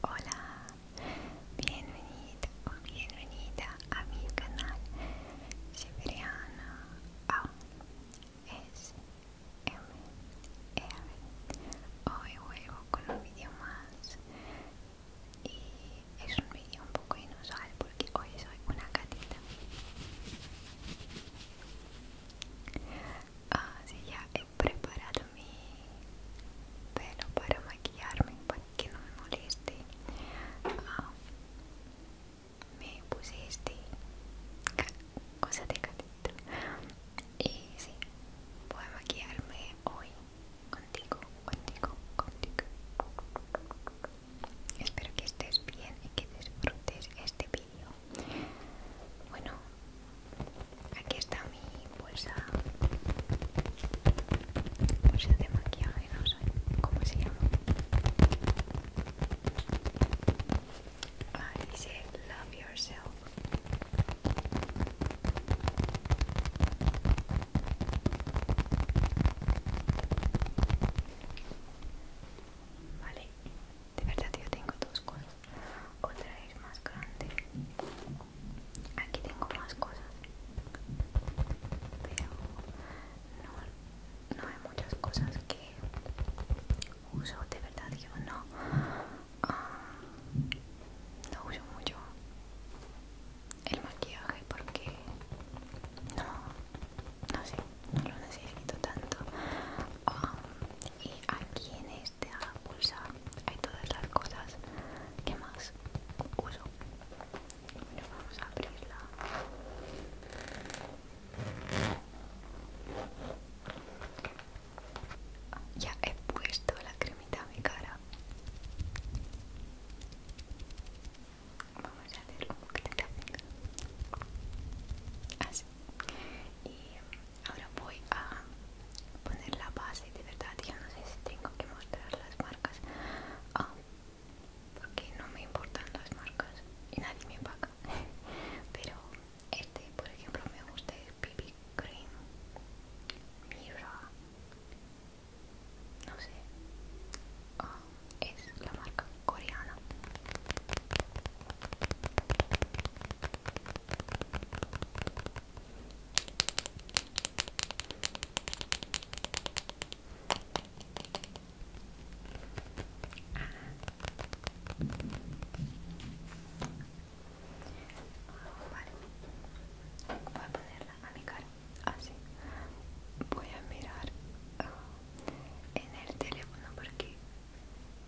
Hola, bienvenido o bienvenida a mi canal Siberiana ASMR. Hoy vuelvo con un vídeo más y es un vídeo un poco inusual porque hoy soy una gatita. Ah, ya preparado mi pelo para maquillarme para que no me moleste. Ah, me puse este cosa de gatito y sí, voy a maquillarme hoy contigo, contigo, contigo. Espero que estés bien y que disfrutes este vídeo. Bueno, Aquí está mi bolsa. Bolsa de maquillaje, no sé cómo se llama. Vale, ah, dice Love Yourself. Vale, de verdad yo tengo dos cosas otra vez más grande aquí tengo más cosas pero no, no hay muchas cosas que uso de verdad yo no ah, no uso mucho el maquillaje porque no no no lo necesito tanto y aquí en esta bolsa hay todas las cosas que más uso bueno vamos a abrirla ya he puesto la cremita a mi cara vamos a hacer un poquito así y Ahora voy a poner la base, de verdad ya no sé si tengo que mostrar las marcas ah, porque no me importan las marcas y nadie me paga pero este por ejemplo me gusta el BB Cream Mira no sé ah, es la marca coreana Ah, Voy a ponerla a mi cara. Así. Voy a mirar ah, en el teléfono porque...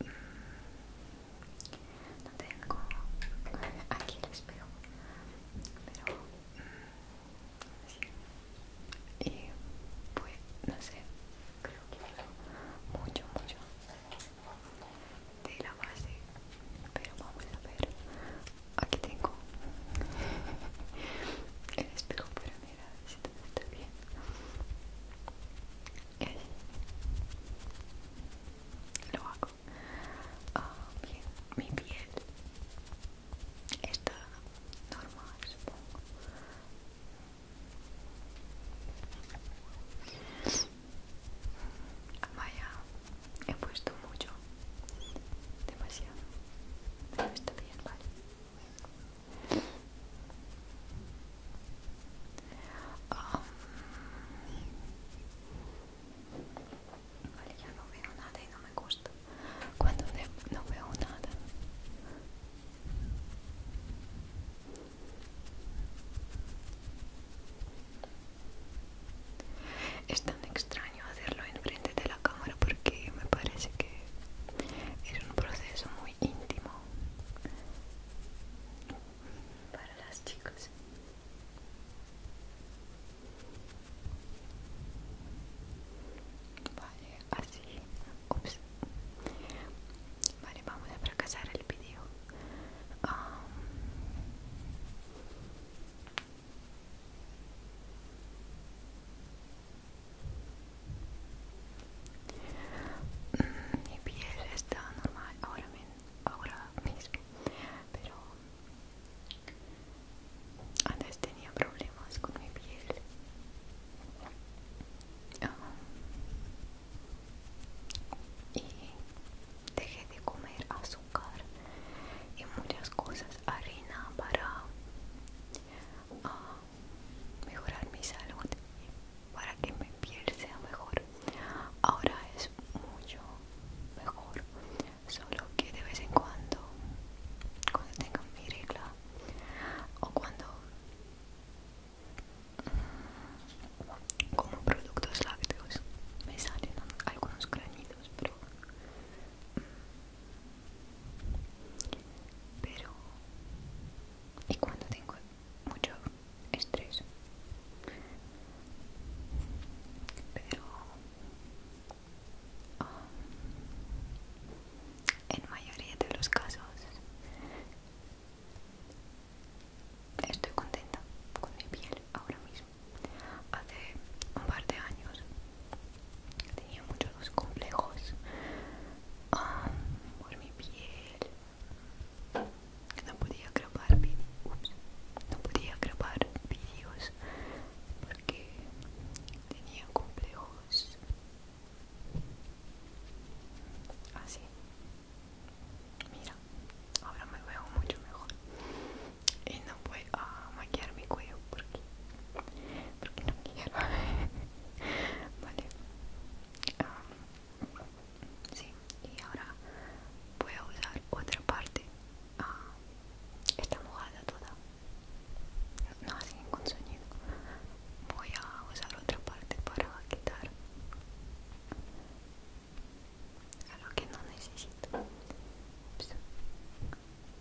Mm, no tengo aquí el espejo pero sí. y pues no sé creo que hablo mucho mucho de la base pero vamos a ver aquí tengo el espejo pero mira si todo está bien lo hago ah, bien mi piel está normal supongo vaya he puesto mucho demasiado pero está bien vale Um, vale, no veo nada y no me gusta. Cuando no veo nada. Es tan extraño hacerlo enfrente de la cámara porque me parece que es un proceso muy íntimo para las chicas. Vale, así. Ups. Vale, vamos a fracasar el vídeo. Ah. Mm, mi piel está normal ahora mismo ahora mismo pero antes tenía problemas con mi piel ah, y dejé de comer azúcar y muchas cosas harina para ah, mejorar mi salud para que mi piel sea mejor ahora es mucho mejor solo que de vez en cuando cuando tenga mi regla o cuando mm, como productos lácteos me salen algunos granitos pero mm, pero y cuando tengo mucho estrés pero um, en mayoría de los casos estoy contenta con mi piel ahora mismo hace un par de años tenía muchos complejos um, por mi piel no podía grabar vídeos no podía grabar vídeos porque tenía complejos así ah, mira ahora me veo mucho mejor y no voy a maquillar mi cuello porque porque no quiero vale ah, sí y ahora voy a usar otra parte ah, está mojada toda no hace ningún sonido voy a usar otra parte para quitar a lo que no necesito pues,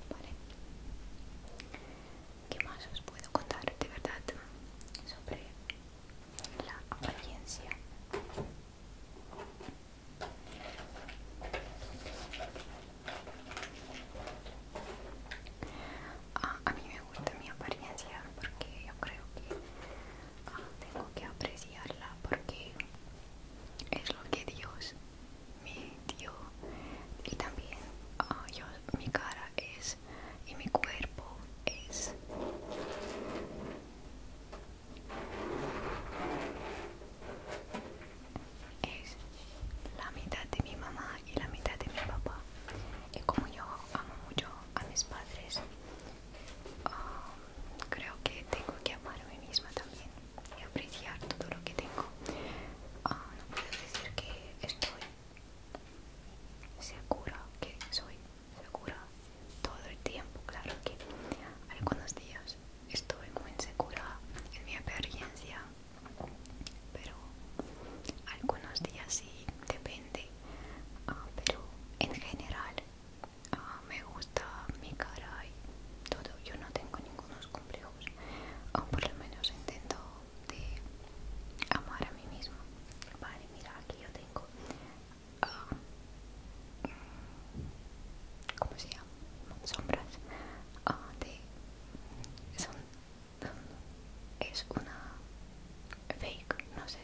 vale ¿Qué más os puedo contar de verdad sobre la apariencia. Ah, a mí me gusta mi apariencia porque yo creo que ah, tengo que apreciarla porque es lo que Dios me dio y también ah, mi cara es y mi cuerpo es es la mitad de mi mamá y la mitad de mi papá y como yo amo mucho a mis padres um, creo que tengo que amar a mí misma también y apreciar todo lo que tengo ah, no puedo decir que estoy segura que soy segura todo el tiempo. Claro que algunos días estuve muy insegura en mi apariencia, pero algunos días sí, depende. Ah, pero en general ah, me gusta mi cara y todo. Yo no tengo ningunos complejos, aún por lo menos intento de amar a mí misma. Vale, mira, aquí yo Ah, ¿cómo se llama? sombras ah, de es una fake no sé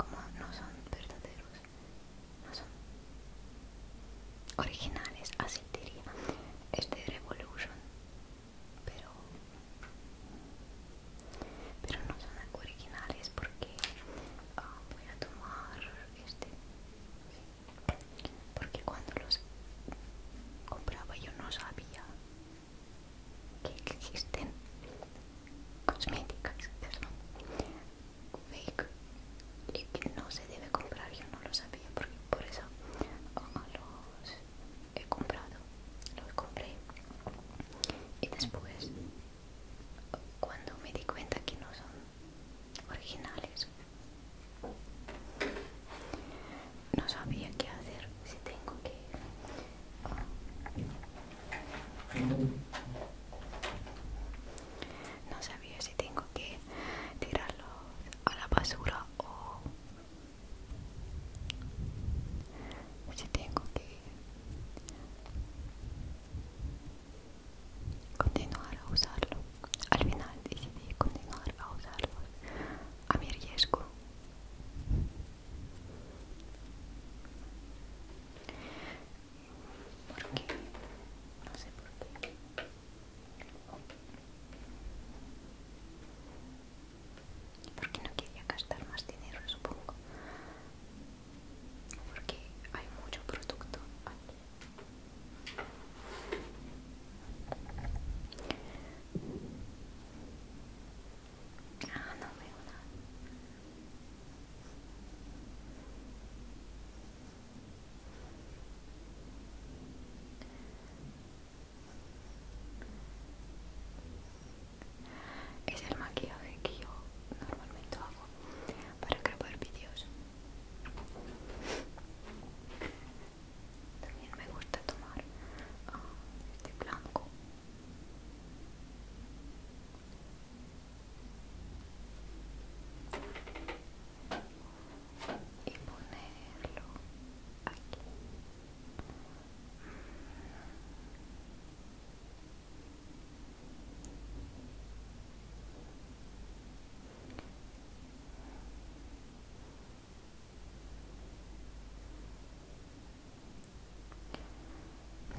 como no son verdaderos no son originales así diría de este revolution pero pero no son originales porque ah, voy a tomar este porque cuando los compraba yo no sabía que existen cosméticas son fake y que no se debe comprar yo no lo sabía porque por eso ah, he comprado lo compré y después cuando me di cuenta que no son originales no sabía qué hacer si tengo que no sabía si tengo que tirarlo a la basura o si tengo que continuar a usarlo al final decidí continuar a usarlo a mi riesgo qué? no sé por qué porque no quería gastar más dinero supongo porque hay mucho producto aquí ah, es el maquillaje que yo normalmente hago para grabar vídeos. También me gusta tomar ah, este blanco. Y ponerlo aquí.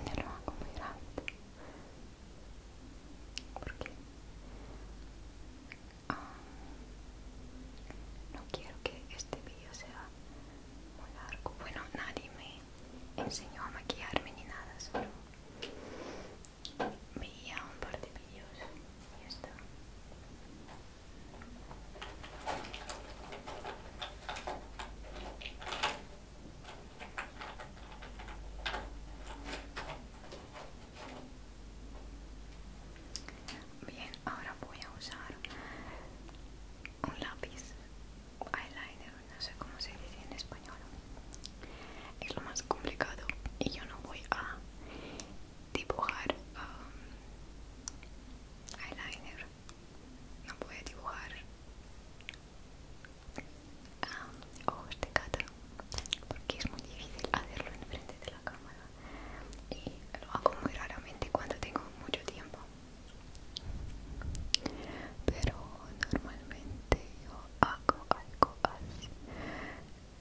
Me lo hago muy grande porque um, no quiero que este video sea muy largo. Bueno, nadie me enseñó a maquillarme ni nada, solo veía un par de vídeos y Bien, ahora voy a usar un lápiz eyeliner, no sé cómo se dice en español es lo más complicado y yo no voy a dibujar um, eyeliner no voy a dibujar um, ojos de gato porque es muy difícil hacerlo enfrente de la cámara y lo hago muy raramente cuando tengo mucho tiempo pero normalmente yo hago algo así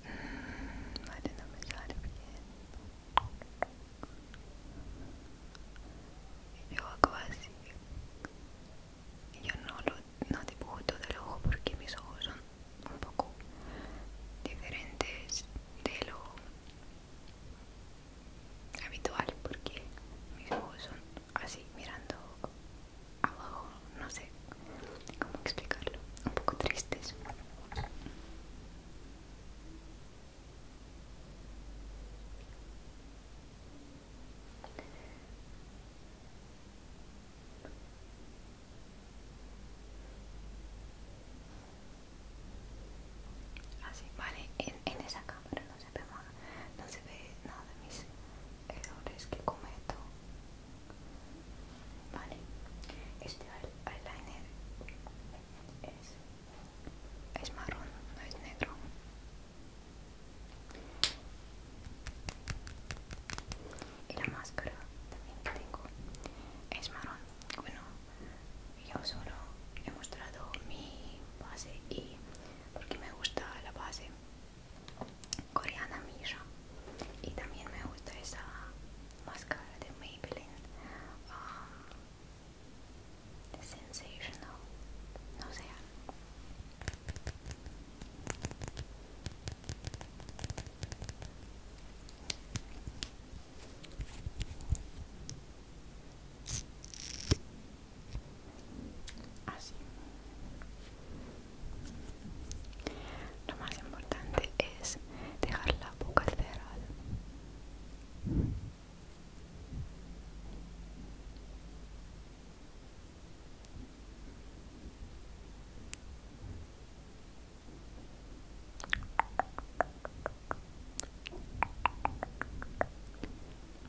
mm, no me sale bien yo hago así yo no lo no dibujo todo el ojo porque mis ojos son un poco diferentes de lo habitual porque mis ojos son así mirando abajo, no sé cómo explicarlo, un poco tristes. Así, vale, en, esa cámara no se ve, no se ve nada de mis errores que cometo. Vale, este eyeliner es, es marrón, no es negro. Y la máscara también que tengo es marrón. Bueno, yo solo he mostrado mi base y porque me gusta la base coreana Misha y también me gusta esa máscara de Maybelline um, Sensational no sé lo más importante es dejar la boca cerrada.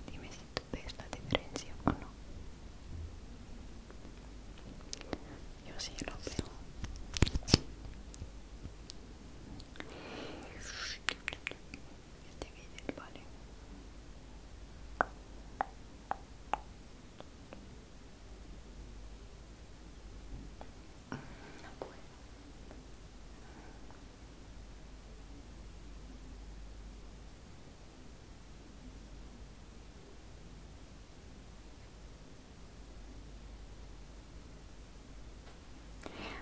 Dime si tú ves la diferencia o no. Yo sí lo veo. Este video, vale.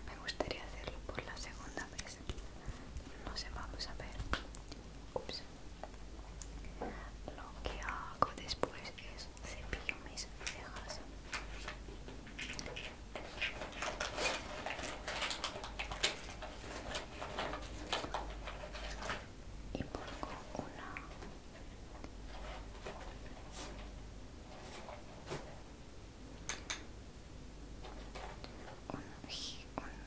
Me gustaría hacerlo por la segunda vez. No sé, vamos a ver. Lo que hago después cepillo mis cejas y pongo una un, gel mm.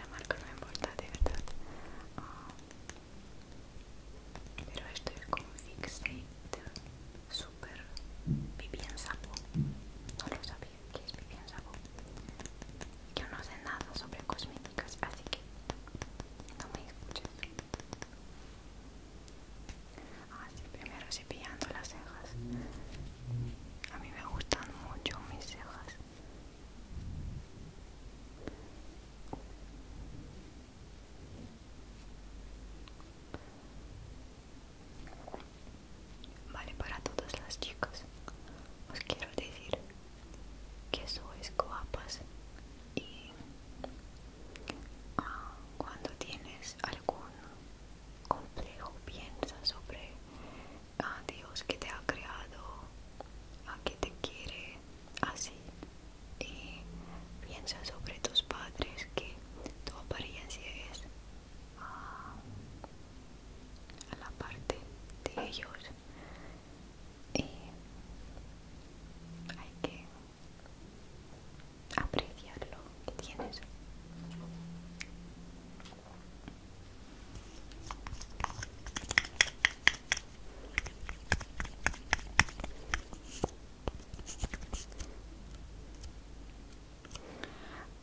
la marca no me importa de verdad ah, pero esto es fixate super vivien sapo no lo sabía que es vivien sapo yo no sé nada sobre cosméticas así que no me escuches ah, sí, primero cepillando las cejas a mí me gustan mucho mis cejas Vale para todas las chicas. Os quiero decir que sois guapas y ah, cuando tienes algún complejo piensa sobre a ah, Dios que te ha creado, a que te quiere así y piensa sobre tus padres que tu apariencia es ah, a la parte de ellos y hay que Apreciarlo lo que tienes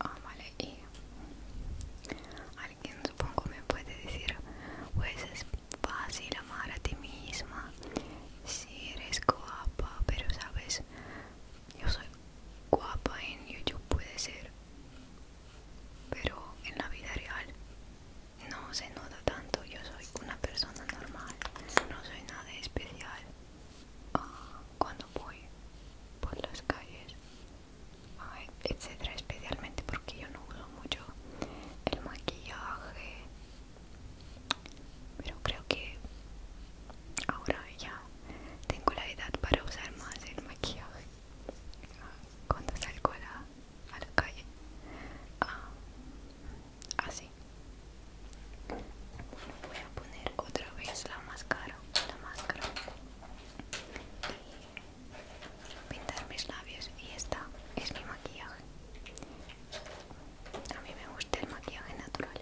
Ah, vale, y alguien supongo me puede decir, pues es fácil amar a ti misma si eres guapa, pero sabes, yo soy guapa en YouTube puede ser, pero en la vida real no se nota tanto, yo soy una persona normal, no soy nada especial. Ah, cuando voy por las calles, etc especialmente porque yo no uso mucho el maquillaje, pero creo que ahora ya tengo la edad para usar más el maquillaje. Ah, cuando salgo la a la calle ah, así voy a poner otra vez la máscara la máscara y pintar mis labios y esta es mi maquillaje a mí me gusta el maquillaje natural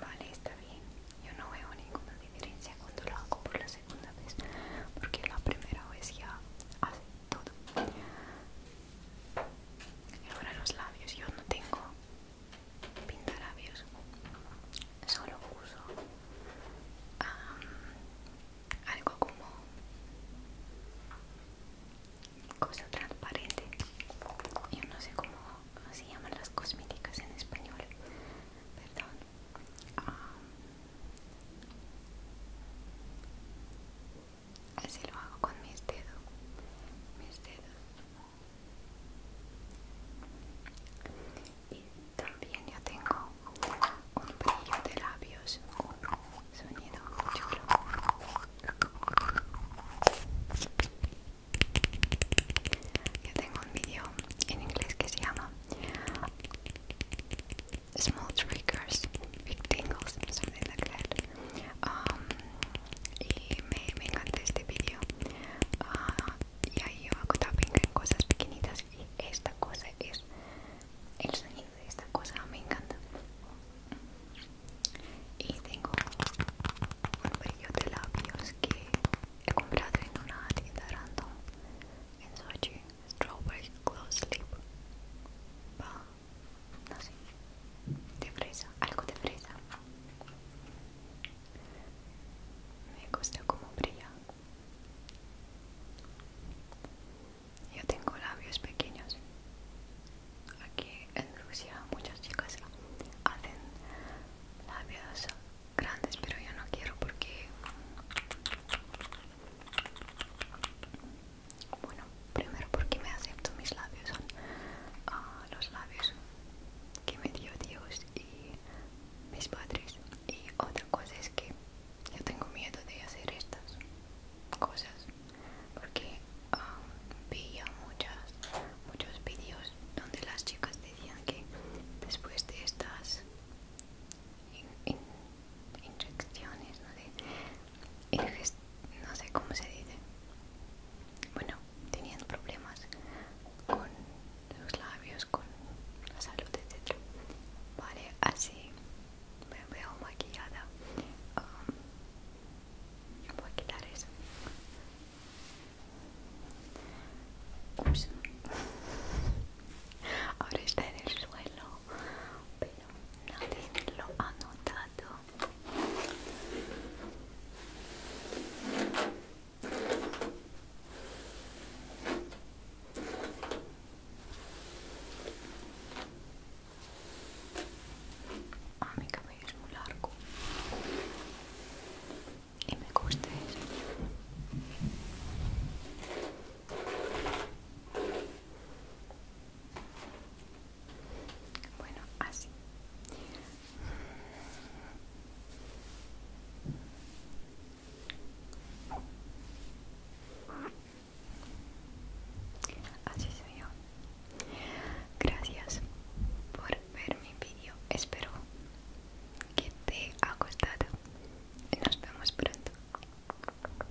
Vale, está bien. Yo no veo ninguna diferencia cuando lo hago por la segunda vez, porque la primera vez ya hace todo. Y Ahora los labios, yo no tengo pintalabios, solo uso algo como cosa transparente. Yo no sé cómo se llaman las cosméticas en español, perdón así lo hago con mis dedos mis dedos y también yo tengo un brillo de labios un sonido chulo yo tengo un vídeo en inglés que se llama small triggers, big tingles, something like that. Um, y me, me vídeo. Uh, ah, y ahí yo hago tapping cosas pequeñitas y esta cosa es el sonido de esta cosa me encanta y tengo un brillo de labios que he comprado en una tienda random en Sochi Strawberry Glow Sleep no sé, de fresa, algo de fresa. Me gusta como brilla. Yo tengo labios pequeños. Aquí en Rusia muchas chicas hacen labios grandes, pero yo no quiero porque bueno, primero porque me acepto mis labios, son ah, los labios que me dio Dios y mis padres. Y otra cosa es que yo tengo miedo de hacer estas cosas porque ah, vi veía muchas, muchos vídeos donde las chicas decían que después de estas inyecciones, no y no sé cómo se dice bueno teniendo problemas con los labios con la salud etc vale así me veo maquillada um, voy a quitar eso ahora está en el suelo nadie lo ha notado. Ah, mi cabello es muy largo y me gusta eso. Bueno, así. Así soy yo. Gracias por ver mi vídeo. Espero que te ha gustado. Nos vemos pronto.